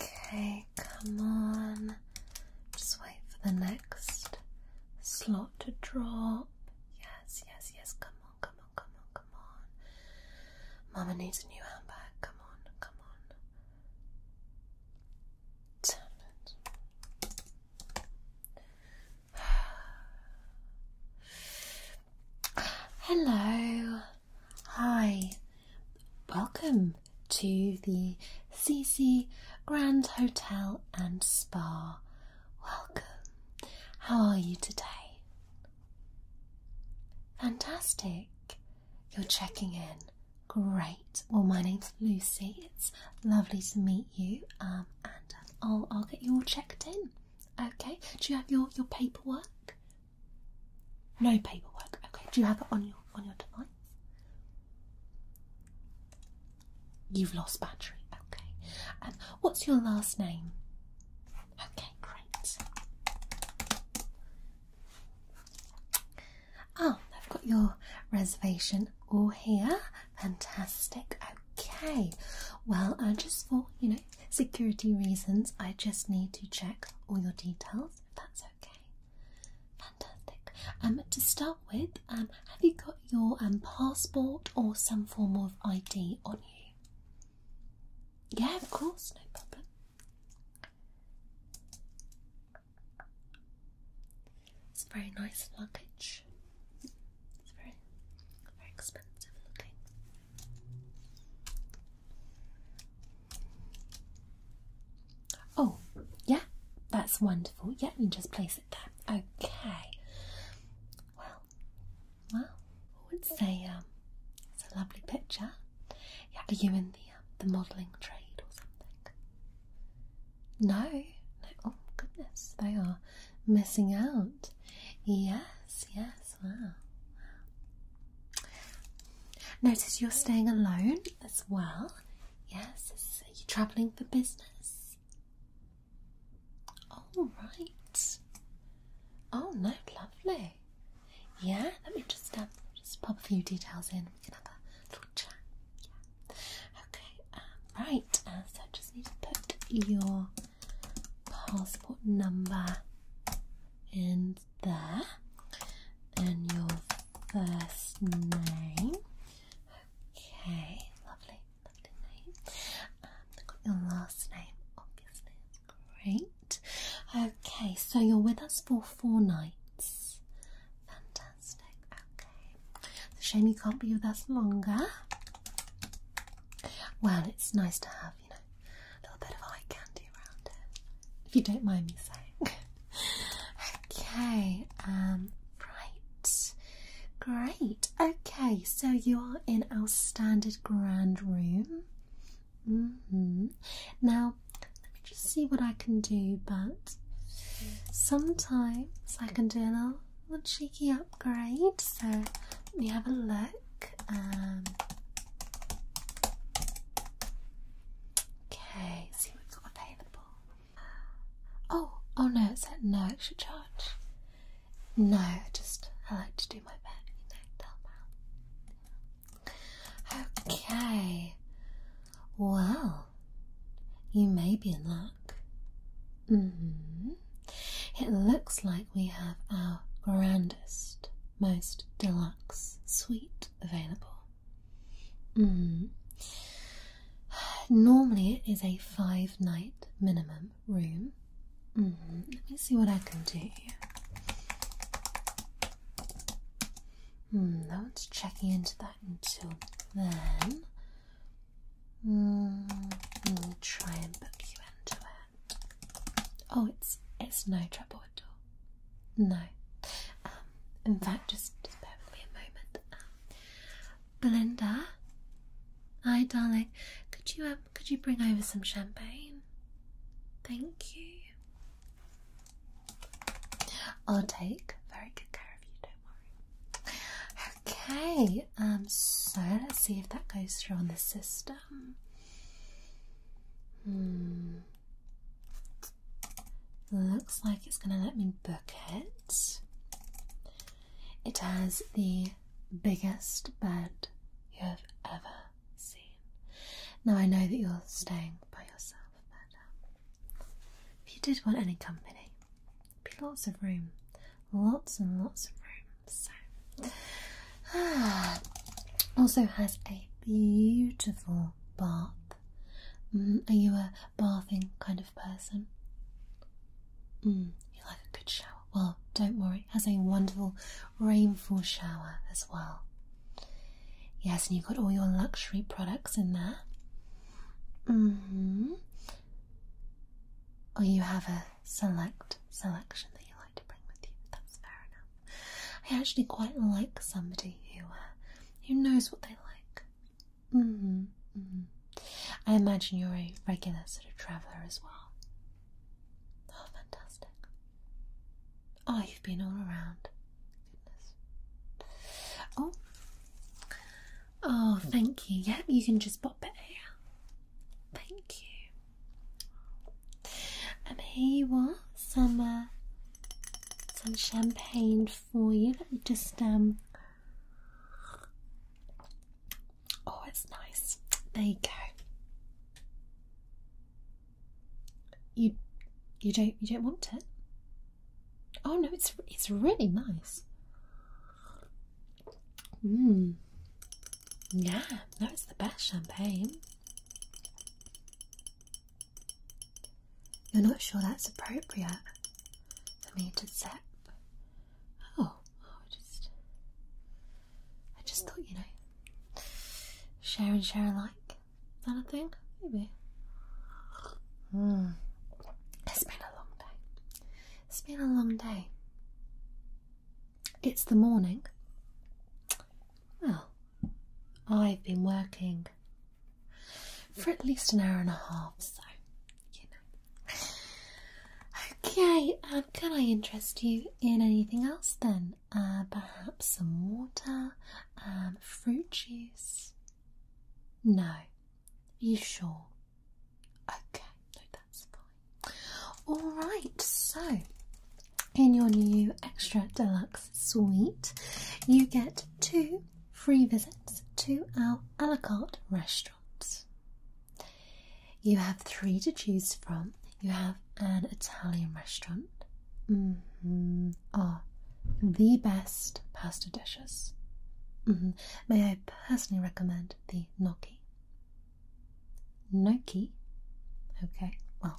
Okay, come on. Just wait for the next slot to drop. Yes, yes, yes. Come on, come on, come on, come on. Mama needs a new handbag. Come on, come on. Damn it. Hello. Hi. Welcome to the CC Grand Hotel and Spa. Welcome. How are you today? Fantastic. You're checking in. Great. Well, my name's Lucy. It's lovely to meet you. Um, and I'll I'll get you all checked in. Okay. Do you have your your paperwork? No paperwork. Okay. Do you have it on your on your device? You've lost battery. Okay. what's your last name? Okay, great. Oh, I've got your reservation all here. Fantastic. Okay. Well, uh, just for you know security reasons, I just need to check all your details, if that's okay. Fantastic. Um, to start with, um, have you got your um, passport or some form of ID on you? Yeah, of course, no problem. It's very nice luggage. It's very, very expensive looking. Oh, yeah, that's wonderful. Yeah, you can just place it there. Okay. Well, well, I would say um, it's a lovely picture. Yeah, are you in the um, the modelling trade or something? No, no. Oh goodness, they are missing out. Yes, yes well. Notice you're staying alone as well. Yes, so you're travelling for business. All right. Oh no, lovely. Yeah, let me just um, just pop a few details in. We can have a little chat. Yeah. Okay. Um, right. Uh, so I just need to put your passport number in there, and your first name. Okay, lovely, lovely name. Um, your last name, obviously. great. Okay, so you're with us for four nights. Fantastic. Okay, it's a shame you can't be with us longer. Well, it's nice to have a little bit of eye candy around if you don't mind me saying. okay, um, right. Great. Okay, so you are in our standard grand room. Mm-hmm. Now, let me just see what I can do, but sometimes I can do a little, little cheeky upgrade. So let me have a look. Um, okay, see what available. Oh, oh no, It said no extra charge. No, just I like to do my best, you know, Okay, well, you may be in luck. -hmm. It looks like we have our grandest most deluxe suite available. Hmm. Normally, it is a five night minimum room. Hmm. Let me see what I can do here. Hmm, no one's checking into that until then. we'll try and book you into it. Oh, it's it's no trouble at all. No. Um, in fact, just, just bear with me a moment. Um, Belinda, hi darling. Could you um could you bring over some champagne? Thank you. I'll take very good care of you. Don't worry. Okay. Um. So let's see if that goes through on the system. Hmm. Looks like it's going to let me book it. It has the biggest bed you have ever seen. Now I know that you're staying by yourself, but um, if you did want any company, be lots of room. Lots and lots of room. So, also has a beautiful bath. Mm, are you a bathing kind of person? Mm, you like a good shower. Well, don't worry, it has a wonderful rainfall shower as well. Yes, and you've got all your luxury products in there. Mm Or you have a select selection that you like to bring with you. That's fair enough. I actually quite like somebody who uh, who knows what they like. -hmm, I imagine you're a regular sort of traveller as well. Oh, fantastic! Oh, you've been all around. Goodness. Oh. Oh, thank you. Yeah, you can just pop it here. Thank you. And here you are, some uh, some champagne for you. Let me just um. Oh, it's nice. There you go. You, you don't, you don't want it. Oh no, it's it's really nice. Mmm. Yeah, no, it's the best champagne. You're not sure that's appropriate for me to zap. Oh, oh, just I just thought, you know, share and share alike. Is that a thing? Maybe. Hmm. It's been a long day. It's been a long day. It's the morning. Well, I've been working for at least an hour and a half, so you know. Okay, um, can I interest you in anything else then? Uh, perhaps some water, um, fruit juice? No. Are you sure? Okay, no, that's fine. Alright, so in your new extra deluxe suite, you get two free visits to our a la carte restaurants. You have three to choose from. You have an Italian restaurant. Mm the best pasta dishes. Mm-hmm. May I personally recommend the gnocchi? Noki. Okay, well,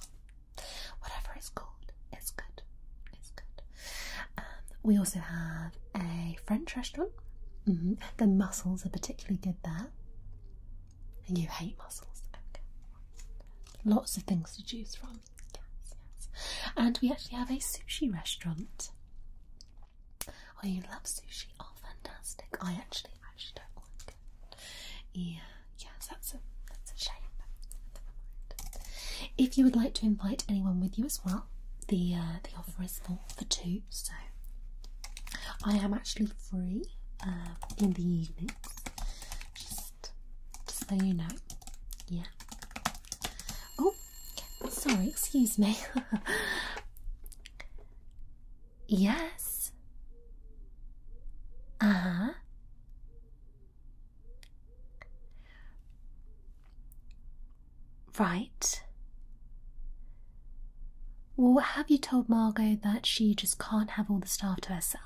whatever it's called, it's good. It's good. Um, we also have a French restaurant. Mm-hmm. The mussels are particularly good there. And you hate mussels. Okay. Lots of things to choose from. Yes, yes. And we actually have a sushi restaurant. Oh, you love sushi? Oh, fantastic. I actually yeah, yes, that's a that's a shame If you would like to invite anyone with you as well, the uh, the offer is full for two, so I am actually free um, in the evenings. Just just so you know. Yeah. Oh, sorry, excuse me. Yes. Uh huh. Right. Well, have you told Margot that she just can't have all the staff to herself?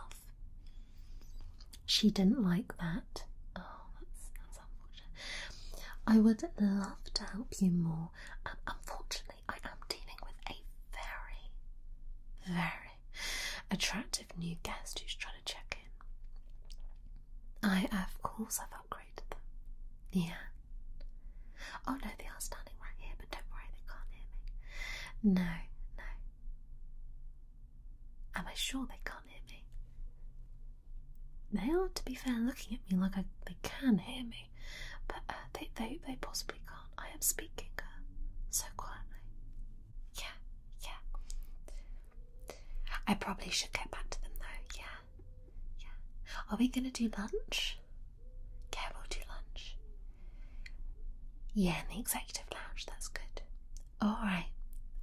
She didn't like that. Oh, that's, unfortunate. I would love to help you more. Um, unfortunately, I am dealing with a very, very attractive new guest who's trying to check in. I, of course, I've upgraded them. Yeah. Oh no, they are standing right here, but don't worry, they can't hear me. No, no. Am I sure they can't hear me? They are, to be fair, looking at me like I, they can hear me, but uh, they, they, they possibly can't. I am speaking uh, so quietly. Yeah, yeah. I probably should get back to them though. Yeah, yeah. Are we gonna do lunch? Yeah, we'll do lunch. Yeah, in the executive lounge. That's good. All right,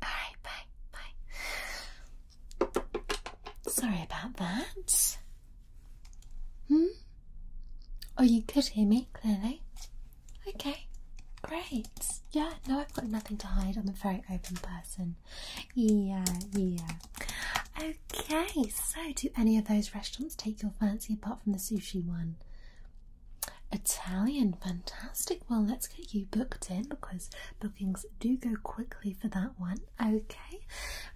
all right. Bye, bye. Sorry about that. Hmm. Oh, you could hear me clearly. Okay, great. Yeah, no, I've got nothing to hide. I'm a very open person. Yeah, yeah. Okay, so do any of those restaurants take your fancy apart from the sushi one? Italian, fantastic. Well, let's get you booked in because bookings do go quickly for that one. Okay,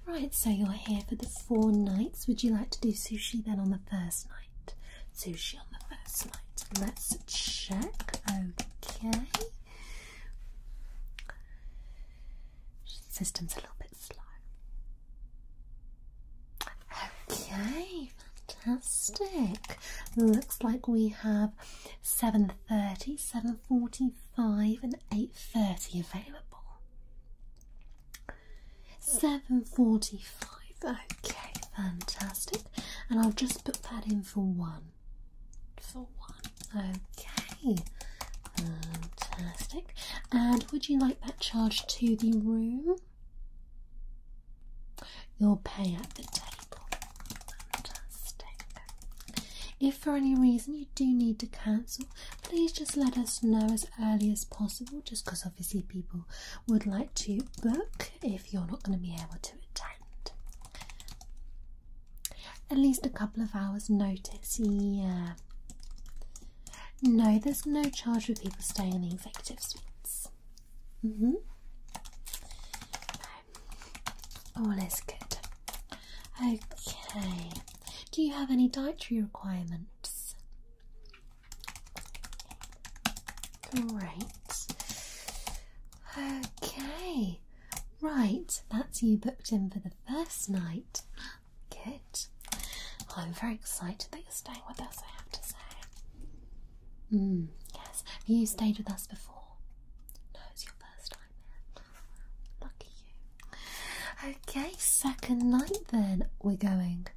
right, so you're here for the four nights. Would you like to do sushi then on the first first night. on the first night. Let's check. Okay. System's a little bit slow. Okay, fantastic. Looks like we have 7.30, 7.45 and 8.30 available. 745 okay fantastic and i'll just put that in for one for one okay fantastic and would you like that charged to the room you'll pay at the table fantastic if for any reason you do need to cancel please just let us know as early as possible, just because obviously people would like to book if you're not going to be able to attend. At least a couple of hours' notice, yeah. No, there's no charge for people staying in the executive suites. Mm hmm. All is good. Okay. Do you have any dietary requirements? Great. Okay. Right, that's you booked in for the first night. Good. I'm very excited that you're staying with us, I have to say. Mm, yes. Have you stayed with us before? No, it's your first time Lucky you. Okay, second night then. We're going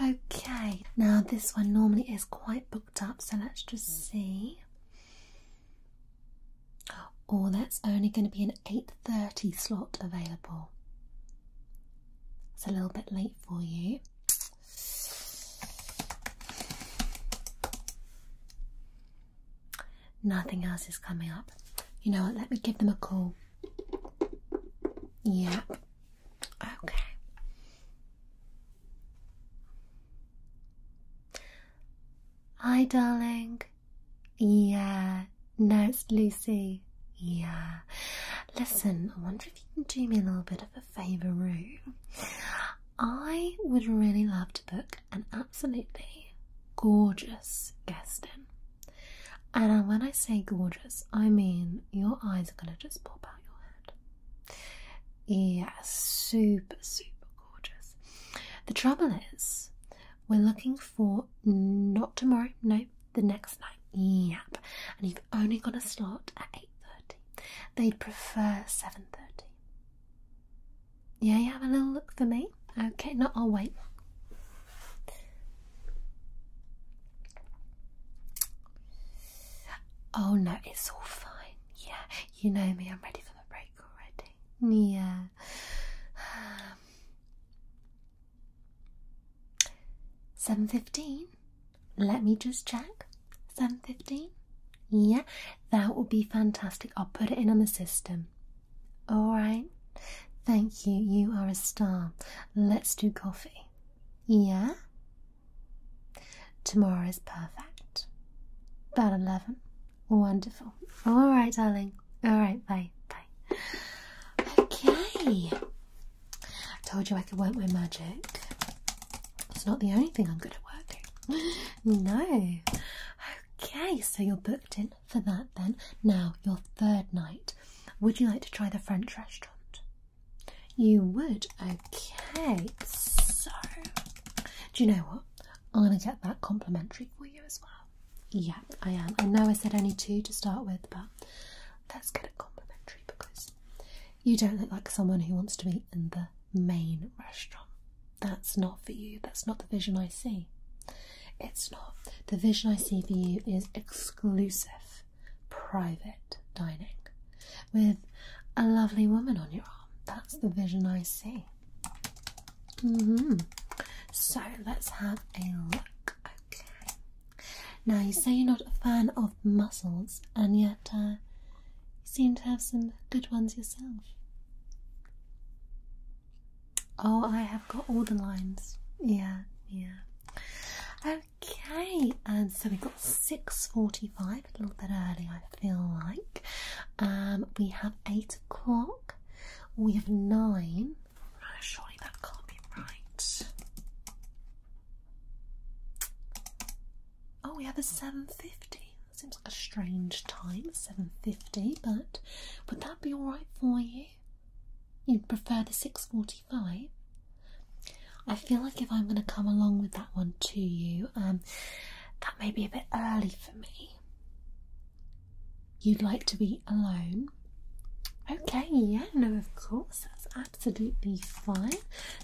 Okay, now this one normally is quite booked up, so let's just see. Oh, that's only going to be an 8.30 slot available. It's a little bit late for you. Nothing else is coming up. You know what? Let me give them a call. Yeah. Okay. Hi, darling. Yeah. No, it's Lucy. Yeah. Listen, I wonder if you can do me a little bit of a favour, Ruth. I would really love to book an absolutely gorgeous guest room. And when I say gorgeous, I mean your eyes are going to just pop out your head. Yeah, super, super gorgeous. The trouble is, we're looking for not tomorrow, no, the next night. Yep. And you've only got a slot at 8.30. They'd prefer 7.30. Yeah, you have a little look for me? Okay, no, I'll wait. Oh no, it's all fine. Yeah, you know me, I'm ready for the break already. Yeah. Seven fifteen. Let me just check. Seven fifteen. Yeah, that will be fantastic. I'll put it in on the system. All right. Thank you. You are a star. Let's do coffee. Yeah? Tomorrow is perfect. About 11. Wonderful. All right, darling. All right, bye. Bye. Okay. I told you I could work my magic. It's not the only thing I'm good at working. No. Okay, so you're booked in for that then. Now, your third night. Would you like to try the French restaurant? You would? Okay. So, do you know what? I'm going to get that complimentary for you as well. Yeah, I am. I know I said only two to start with, but let's get a complimentary because you don't look like someone who wants to be in the main restaurant. That's not for you. That's not the vision I see. It's not. The vision I see for you is exclusive, private dining with a lovely woman on your arm. That's the vision I see. Mm-hmm. So let's have a look. Okay. Now you say you're not a fan of muscles, and yet uh, you seem to have some good ones yourself. Oh, I have got all the lines. Yeah, yeah. Okay, and so we got 6.45, a little bit early I feel like. Um, we have 8 o'clock, we have 9. surely that can't be right. Oh, we have a 7.50. Seems like a strange time, 7.50, but would that be alright for you? you? would prefer the 645? I feel like if I'm going to come along with that one to you, um, that may be a bit early for me. You'd like to be alone? Okay, yeah, no, of course, that's absolutely fine.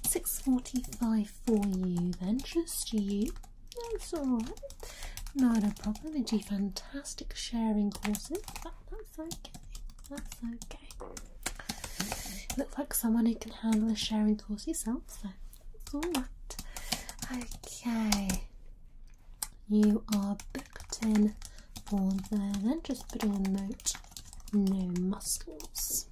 6.45 for you then, just you. That's alright. Not a problem, it'd be fantastic fantastic sharing courses. that's okay. That's okay. Looks like someone who can handle a sharing course yourself, so that's Okay. You are booked in for there, then just putting a note no muscles.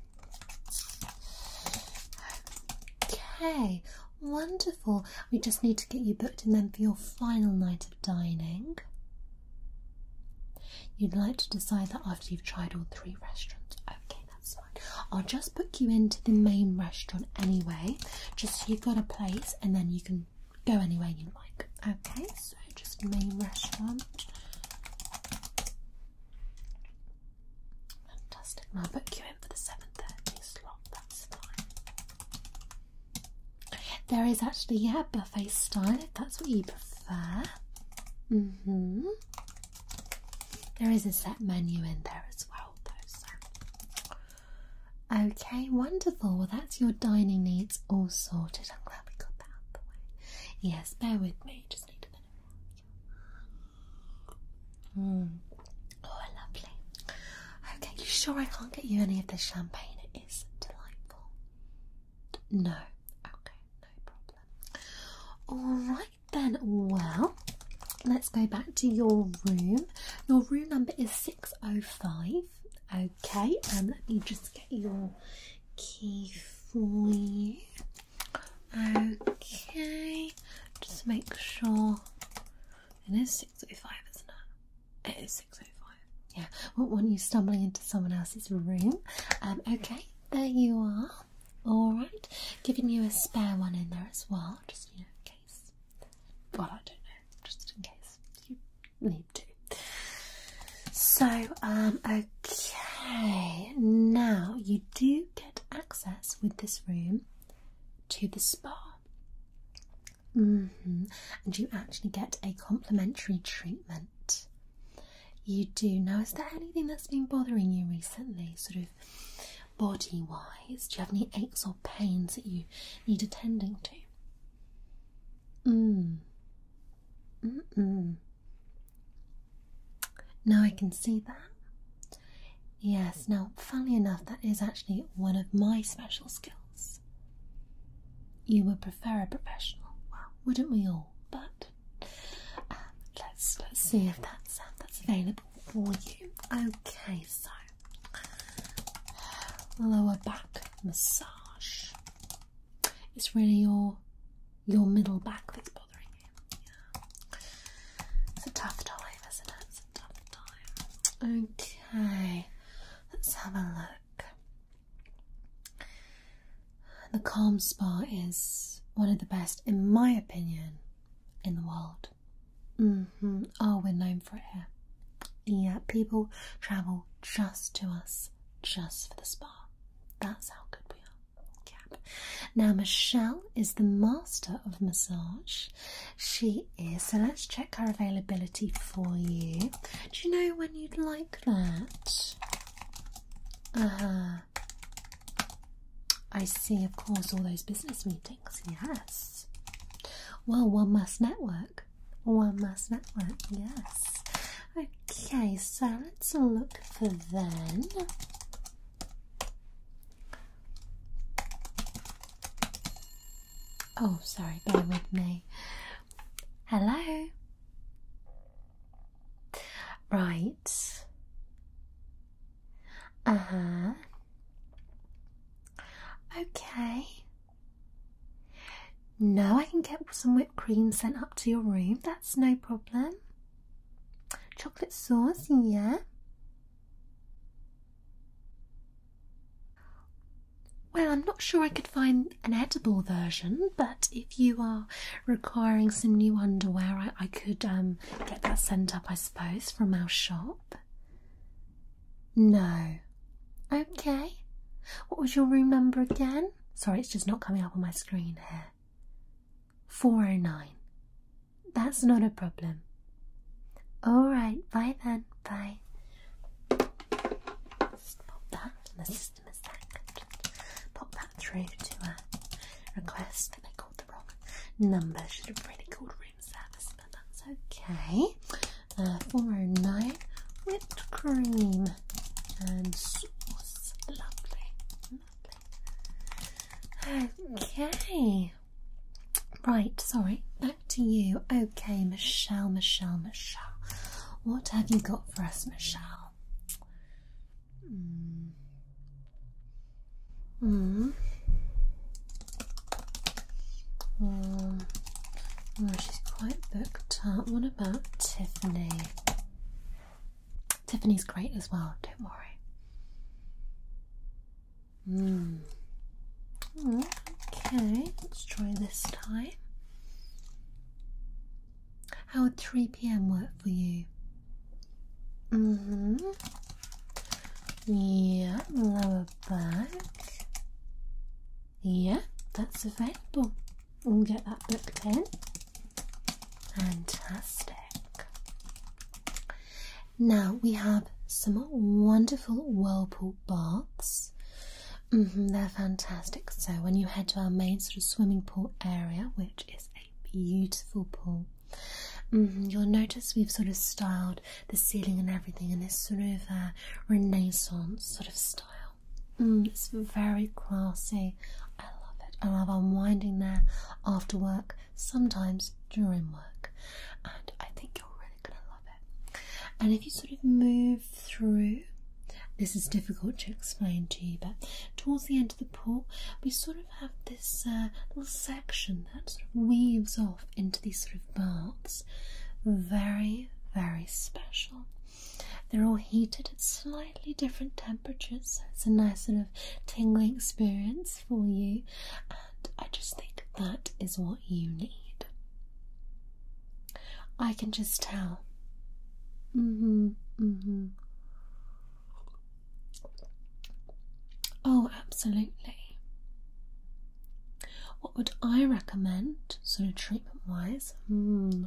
Okay, Wonderful. We just need to get you booked in then for your final night of dining. You'd like to decide that after you've tried all three restaurants. Okay, that's fine. I'll just book you into the main restaurant anyway, just so you've got a place and then you can go anywhere you like. Okay, so just main restaurant. Fantastic. I'll book you in for the 7.30 slot, that's fine. There is actually, yeah, buffet style that's what you prefer. Mm-hmm. There is a set menu in there as well, though. Okay, wonderful. Well, that's your dining needs all sorted. I'm glad we got that out the way. Yes, bear with me. Just need a minute. Mm. Oh, lovely. Okay, you sure I can't get you any of the champagne? It is delightful. No. Okay, no problem. All right then. Well, let's go back to your room. Your room number is 605. Okay, and um, let me just get your key for you. Okay, just make sure it is 6.05, isn't it? It is 6.05. Yeah, well, when you're stumbling into someone else's room. Um, okay, there you are. Alright, giving you a spare one in there as well, just you know, in case. Well, I don't know, just in case you need to. So, um, okay, now you do get access with this room to the spa. Mm-hmm. And you actually get a complimentary treatment. You do. Now, is there anything that's been bothering you recently, sort of body wise? Do you have any aches or pains that you need attending to? Mm. Mm -mm. Now I can see that. Yes, now, funnily enough, that is actually one of my special skills. You would prefer a professional, well, wouldn't we all? But um, let's let's see if that's um, that's available for you. Okay, so lower back massage. It's really your your middle back that's bothering you. It's a tough time, isn't it? It's a tough time. Okay, let's have a look. The Calm Spa is one of the best, in my opinion, in the world. Mm-hmm. Oh, we're known for it Yeah, people travel just to us, just for the spa. That's how good we are. Now, Michelle is the master of massage she is. So let's check her availability for you. Do you know when you'd like that? Uh huh. I see, of course, all those business meetings, yes. Well, one must network. One must network, yes. Okay, so let's look for then. Oh, sorry, bear with me. Hello. Right. Uh huh. Okay. No, I can get some whipped cream sent up to your room. That's no problem. Chocolate sauce, yeah. Well, I'm not sure I could find an edible version, but if you are requiring some new underwear, I, could um, get that sent up, I suppose, from our shop. No. Okay. What was your room number again? Sorry, it's just not coming up on my screen here. 409. That's not a problem. Alright, bye then, bye. pop that in the system a sec. pop that through to a request they called the wrong number. Should have really called room service, but that's okay. Uh, 409 whipped cream and sauce. Lovely, lovely. Okay. Right, sorry, back to you. Okay, Michelle, Michelle, Michelle. What have you got for us, Michelle? Mm. Mm. Mm. Oh, she's quite booked up. What about Tiffany? Tiffany's great as well, don't worry. Mm. okay, let's try this time. How would 3 pm work for you? hmm. Yeah, lower back. Yeah, that's available. We'll get that booked in. Fantastic. Now we have some wonderful whirlpool baths. Mm-hmm, they're fantastic. So when you head to our main sort of swimming pool area, which is a beautiful pool, mm-hmm, you'll notice we've sort of styled the ceiling and everything in this sort of uh, Renaissance sort of style. Mm, it's very classy. I love it. I love unwinding there after work, sometimes during work, and I think you'll are and if you sort of move through, this is difficult to explain to you, but towards the end of the pool, we sort of have this uh, little section that sort of weaves off into these sort of baths. Very, very special. They're all heated at slightly different temperatures, so it's a nice sort of tingling experience for you. I just think that is what you need. I can just tell. hmm, hmm. Oh, absolutely. What would I recommend, sort of treatment wise? Hmm.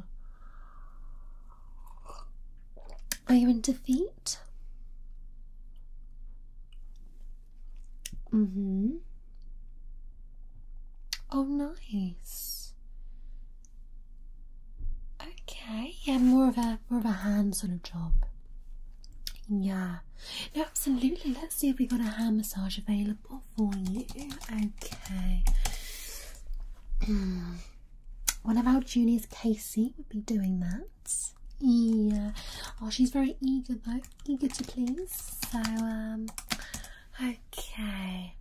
Are you in defeat? Mm hmm. Oh, nice. Okay, yeah, more of a more of a hand sort of job. Yeah, no, absolutely. Let's see if we got a hand massage available for you. Okay. One of our juniors, Casey, would be doing that. Yeah. Oh, she's very eager though you get to please. So, um, okay.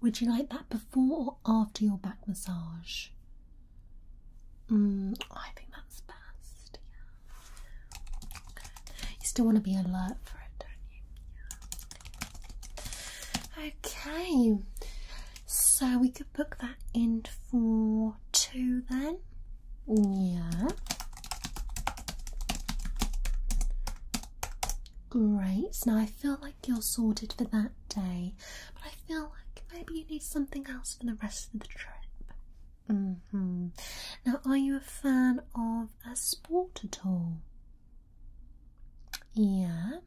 Would you like that before or after your back massage? Mm, I think that's best. You still want to be alert for it, don't you? Okay. So we could book that in for two then. Yeah. Great. Now I feel like you're sorted for that day, but I feel like maybe you need something else for the rest of the trip. Mm hmm. Now, are you a fan of a sport at all? Yeah.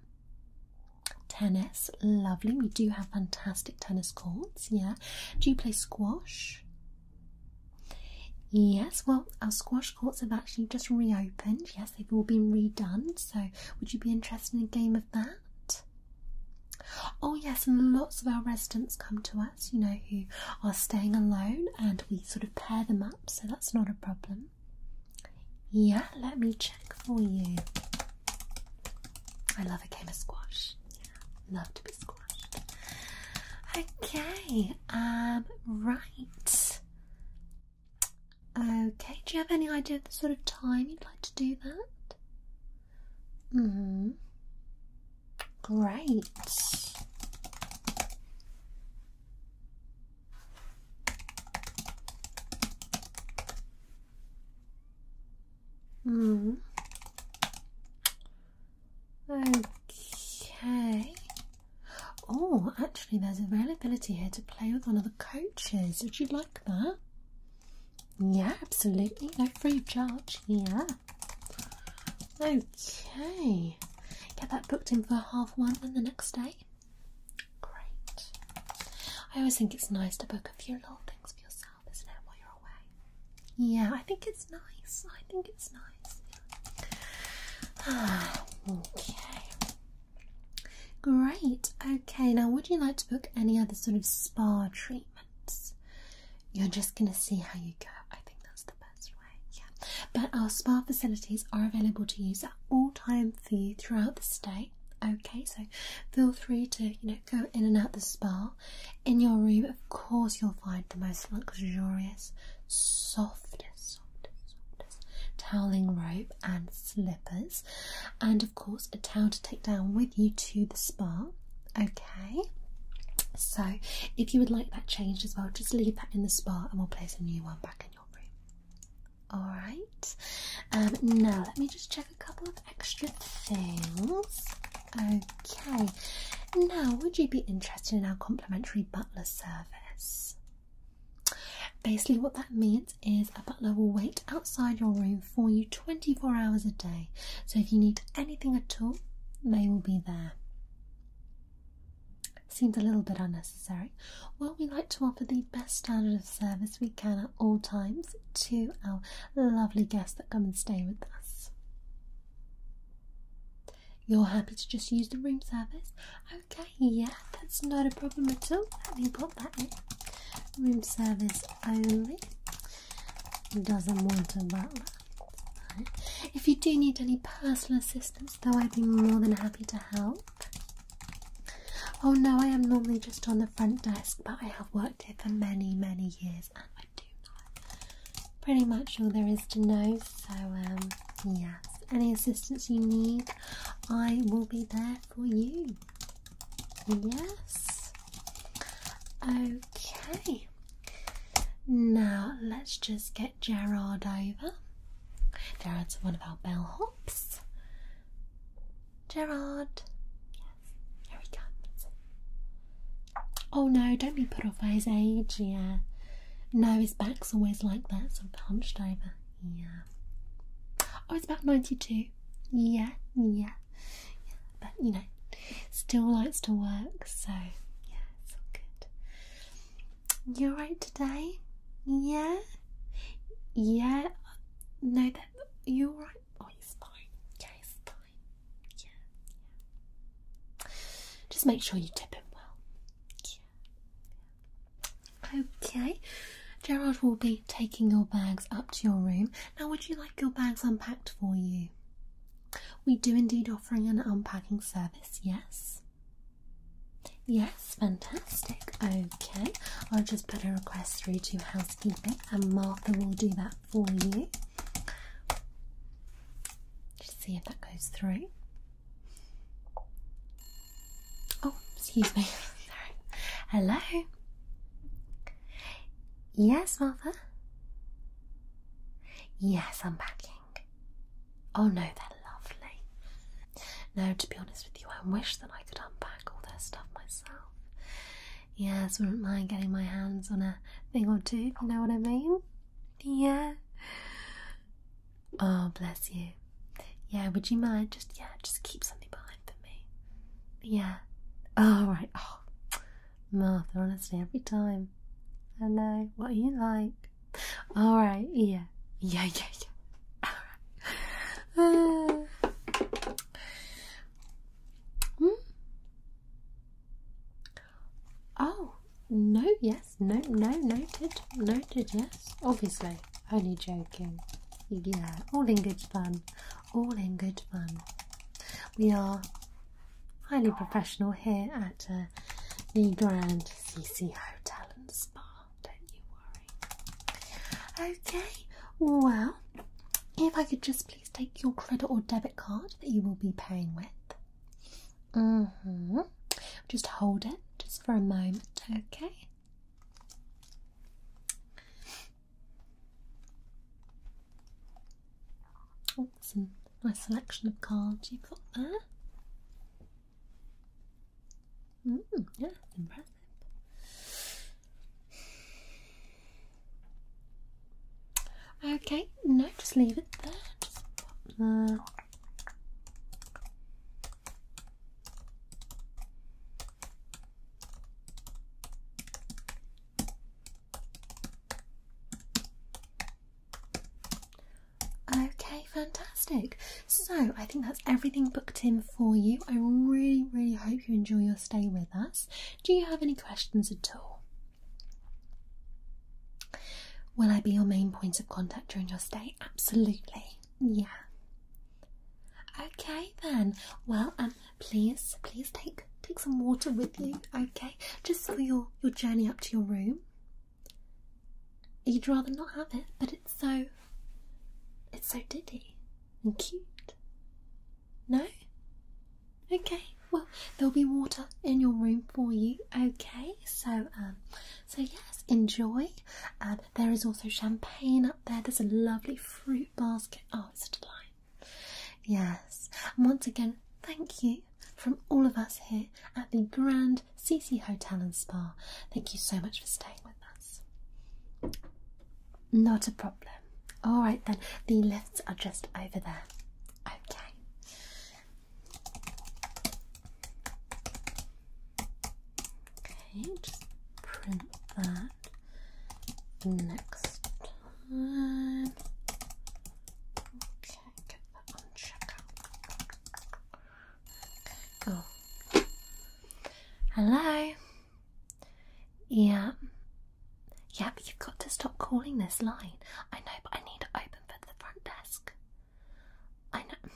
Tennis, lovely. We do have fantastic tennis courts, yeah. Do you play squash? Yes, well, our squash courts have actually just reopened. Yes, they've all been redone. So, would you be interested in a game of that? Oh, yes, and lots of our residents come to us, you know, who are staying alone and we sort of pair them up, so that's not a problem. Yeah, let me check for you. I love a game of squash. Yeah, love to be squashed. Okay, um, right. Okay, do you have any idea of the sort of time you'd like to do that? Mm hmm. Great. Mm. Okay. Oh, actually, there's availability here to play with one of the coaches. Would you like that? Yeah, absolutely. No free charge. Yeah. Okay. Get that booked in for half one and the next day. Great. I always think it's nice to book a few little things for yourself. Yeah, I think it's nice. I think it's nice. okay. Great. Okay, now would you like to book any other sort of spa treatments? You're just going to see how you go. I think that's the best way. Yeah. But our spa facilities are available to use at all times for you throughout the stay. Okay, so feel free to, you know, go in and out the spa. In your room, of course, you'll find the most luxurious, softest, softest, softest toweling robe and slippers, and of course, a towel to take down with you to the spa. Okay, so if you would like that changed as well, just leave that in the spa and we'll place a new one back in your room. All right, um, now let me just check a couple of extra things. Okay, now would you be interested in our complimentary butler service? Basically, what that means is a butler will wait outside your room for you 24 hours a day. So, if you need anything at all, they will be there. Seems a little bit unnecessary. Well, we like to offer the best standard of service we can at all times to our lovely guests that come and stay with us. You're happy to just use the room service? Okay, yeah, that's not a problem at all. Let me pop that in. Room service only. Doesn't want a butler. If you do need any personal assistance, though, I'd be more than happy to help. Oh no, I am normally just on the front desk, but I have worked here for many, many years pretty much all there is to know. So, um, yes, any assistance you need, I will be there for you. Yes. Okay. Now let's just get Gerard over. Gerard's one of our bellhops. Gerard. Yes, here we comes. Oh no, don't be put off by his age, yeah. No, his back's always like that, sort of hunched over, yeah. Oh, it's about 92, yeah, yeah. But you know, still likes to work, so yeah, it's all good. You alright today? Yeah? Yeah? No, that you're right. Oh, he's fine. Yeah, just make sure you tip him well. Okay. Gerard will be taking your bags up to your room. Now, would you like your bags unpacked for you? We do indeed offering an unpacking service, yes. Yes, fantastic. Okay, I'll just put a request through to housekeeping and Martha will do that for you. Just see if that goes through. Oh, excuse me. Hello. Yes, Martha. Yes, unpacking. Oh no, they're lovely. No, to be honest with you, I wish that I could unpack all their stuff myself yes, wouldn't mind getting my hands on a thing or two, you know what I mean? Yeah. Oh, bless you. Yeah, would you mind? Just, yeah, just keep something behind for me. Yeah. Oh, right. Oh, Martha, honestly, every time. I know. What are you like? All right. Yeah. Yeah, yeah, yeah. All right. hmm? Oh, no, yes, no, no, noted, noted, yes. Obviously, only joking. Yeah, all in good fun, all in good fun. We are highly professional here at uh, the Grand CC Hotel and Spa, don't you worry. Okay, well, if I could just please take your credit or debit card that you will be paying with. Mm-hmm. Just hold it just for a moment, okay? Oh, nice selection of cards you've got there. Mm, yeah, impressive. Okay, no, just leave it there. Okay, fantastic. So I think that's everything booked in for you. I really, really hope you enjoy your stay with us. Do you have any questions at all? Will I be your main point of contact during your stay? Absolutely. Yeah. Okay then. Well, um, please, please take take some water with you. Okay, just for your your journey up to your room. You'd rather not have it, but it's so it's so ditty and cute. No? Okay, well, there'll be water in your room for you, okay? So, um, so yes, enjoy. um, there is also champagne up there. There's a lovely fruit basket. Oh, it's divine. Yes, and once again, thank you from all of us here at the Grand CC Hotel and Spa. Thank you so much for staying with us. Not a problem. All right then, the lifts are just over there. Okay. Okay, just print that next time. Okay, get that on checkout. go. Hello? Yeah, yeah, but you've got to stop calling this line. I know, but I need to open for the front desk. I know.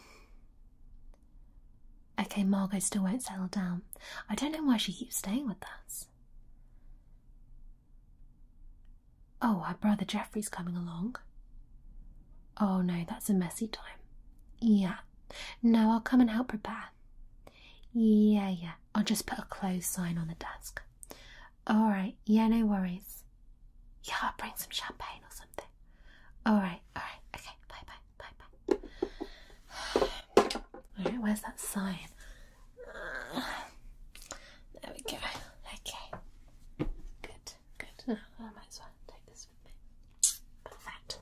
Okay, Margot still won't settle down. I don't know why she keeps staying with us. Oh, her brother Jeffrey's coming along. Oh no, that's a messy time. Yeah. No, I'll come and help prepare. Yeah, yeah. I'll just put a closed sign on the desk. All right. Yeah, no worries. Yeah, bring some champagne or something. All right. All right. Okay. Bye. Bye. Bye. Bye. All right. Where's that sign? There we go. Okay. Good. Good. Oh, I might as well take this with me. Perfect.